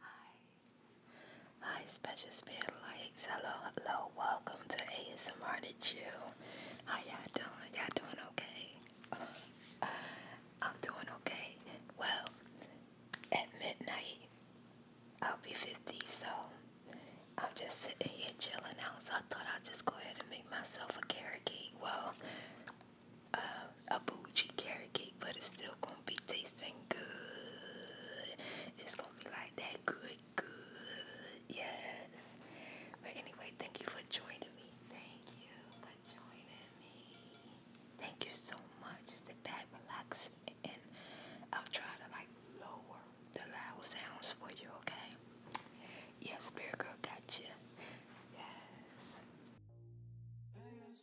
Hi. Hi, special spirit lights. Hello, hello. Welcome to ASMR to Chill. How y'all doing? Y'all doing okay? I'm doing okay. Well, at midnight, I'll be 50, so I'm just sitting here chilling out. So I thought I'd just go ahead and make myself a carrot Well, a bougie carrot cake, but it's still gonna be tasting good. It's gonna be like that good, good, yes. But anyway, thank you for joining me. Thank you for joining me. Thank you so much. the back, relax, and I'll try to like lower the loud sounds for you, okay? Yes, Spirit Girl, gotcha. Yes.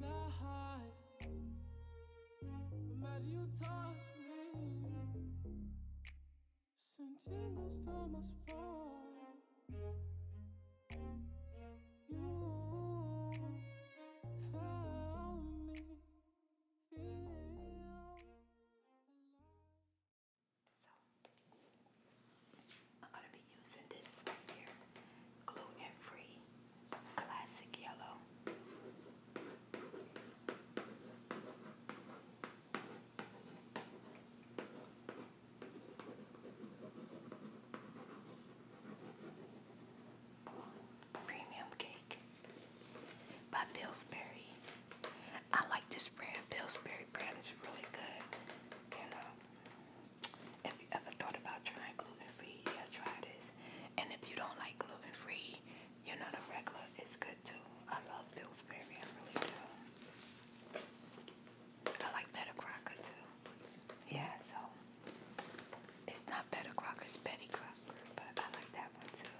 life. Imagine you touch me. Send tingles down my spine. You help me feel alive. So, I'm gonna be using this right here gluten-free, classic yellow. Premium cake by Pillsbury. I like this brand. Pillsbury brand is really good. You know. If you ever thought about trying gluten free, try this. And if you don't like gluten free, you know the regular is good too. I love Pillsbury, I really do. I like Betty Crocker too. Yeah, so it's not Betty Crocker, it's Betty Crocker, but I like that one too.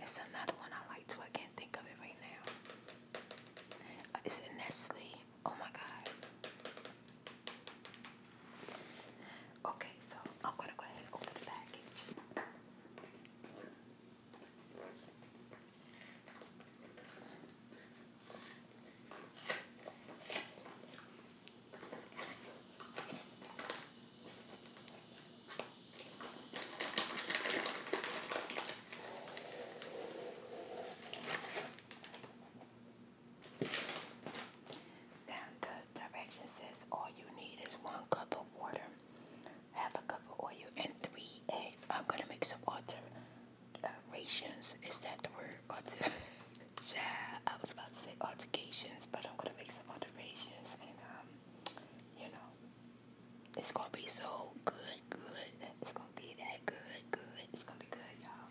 It's another one I like too. I can't think of it right now. Uh, it's a Nestle. Oh my god. Okay, so I'm gonna go ahead and open the package. Now the direction says all you need is one cup of water, half a cup of oil, and three eggs. I'm gonna make some alterations. Is that the word? Alter yeah, I was about to say altercations, but I'm gonna make some alterations, and um, you know, it's gonna be so good, good. It's gonna be that good, good. It's gonna be good, y'all.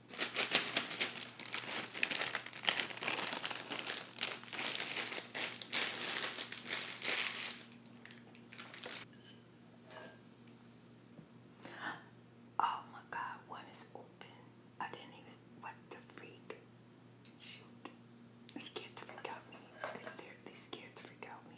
Oh my God, one is open. I didn't even, what the freak? Shoot. scared the freak out me. It scared the freak out me.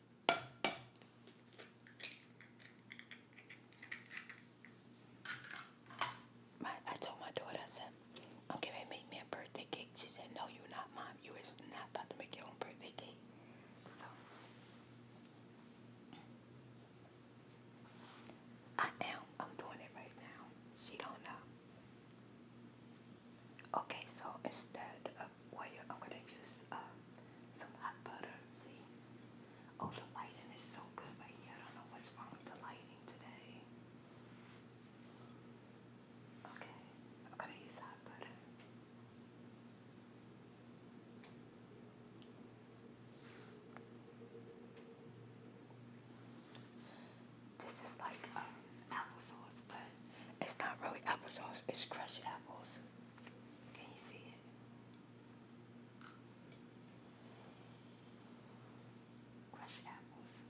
My, I told my daughter, I said, i make me a birthday cake. She said, no, you're not, Mom. You is not about to make your own birthday cake. So, I am. I'm doing it right now. She don't know. Okay, so instead of wire, I'm going to use uh, some hot butter. See? Oh, the lighting is so good right here. I don't know what's wrong with the lighting today. Okay, I'm gonna use hot butter. This is like um, applesauce, but it's not really applesauce, it's crushed apples. Can you see it? Crushed apples.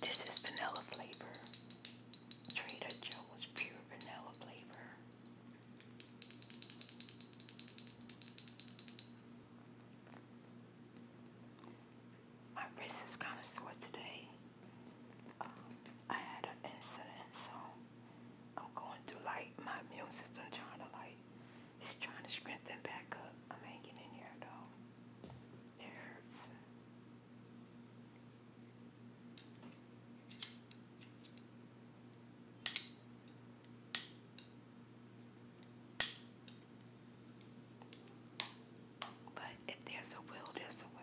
This is vanilla flavor. Trader Joe's pure vanilla flavor. My wrist is kind of sore today. Um, I had an incident, so I'm going through like my immune system trying to like it's trying to strengthen back up. I'm hanging in here though. It hurts. But if there's a will, there's a way.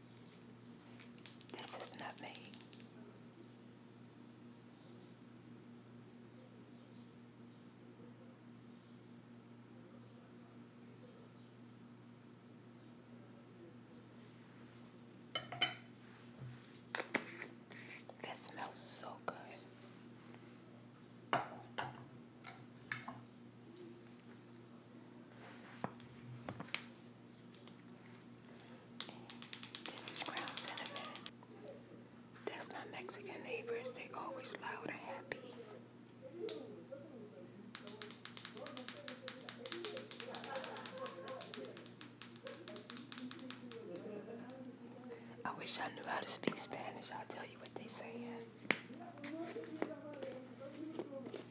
This is not me. That smells so good. This is ground cinnamon. That's my Mexican neighbors. They always loud and happy. I wish I knew how to speak Spanish. I'll tell you what they saying.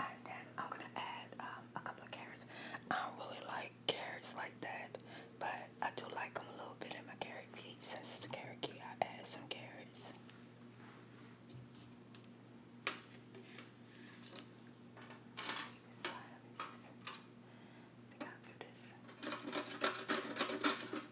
And then I'm gonna add um, a couple of carrots. I don't really like carrots like that, but I do like them a little bit in my carrot cake. Since it's a carrot cake, I add some carrots.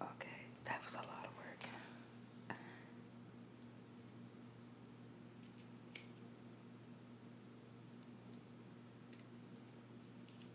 Okay, that was a lot of work.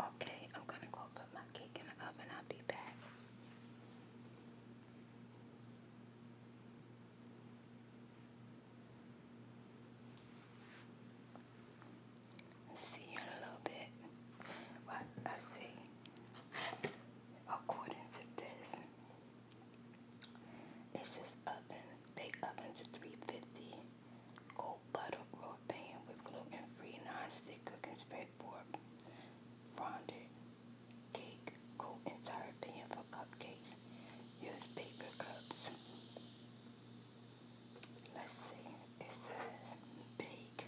Okay, I'm going to go put my cake in the oven. I'll be back see you in a little bit. What I see, according to this, it says oven, bake oven to 350, gold butter, raw pan with gluten-free non-stick cooking spray board, fondant, cake, coat entire pan for cupcakes, use paper cups. Let's see. It says bake.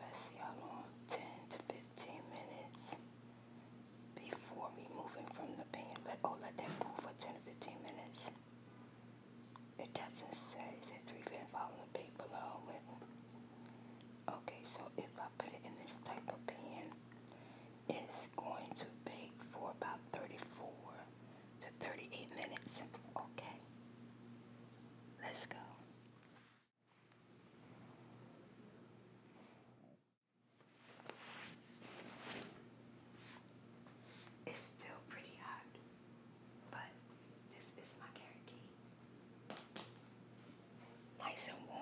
Let's see how long. 10 to 15 minutes before removing from the pan. Let oh let that cool for 10 to 15 minutes. It doesn't say. It says three minutes following the bake below. Okay, so if I put it in this type of pan, it's going to bake for about 34 to 38 minutes. Okay, let's go. It's still pretty hot, but this is my carrot Nice and warm.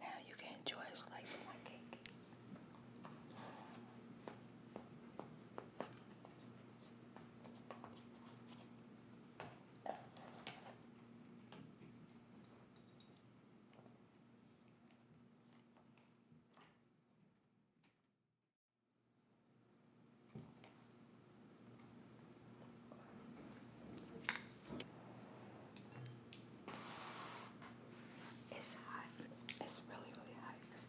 Now you can enjoy a slice of my cake. It's hot. It's really, really hot you can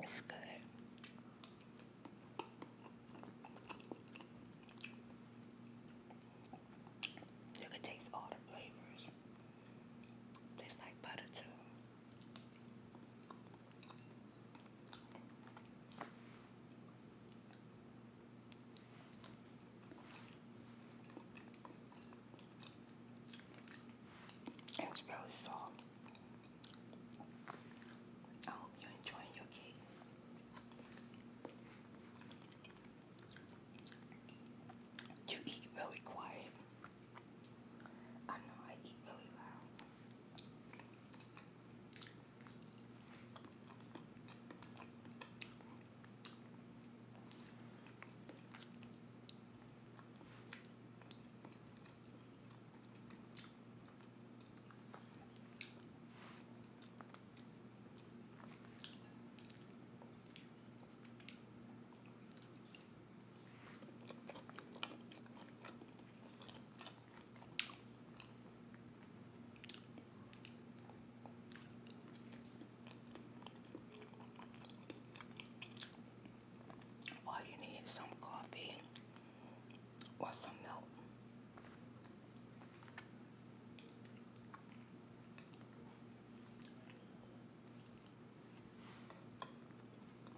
It's good. You can taste all the flavors. Tastes like butter too. It's really soft. I hope you're your cake. You eat really quiet. I know I eat really loud. All you need some coffee or some milk.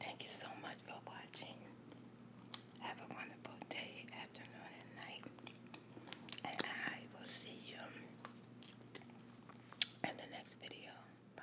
Thank you so much for watching. Have a wonderful day, afternoon, and night. And I will see you in the next video. Bye.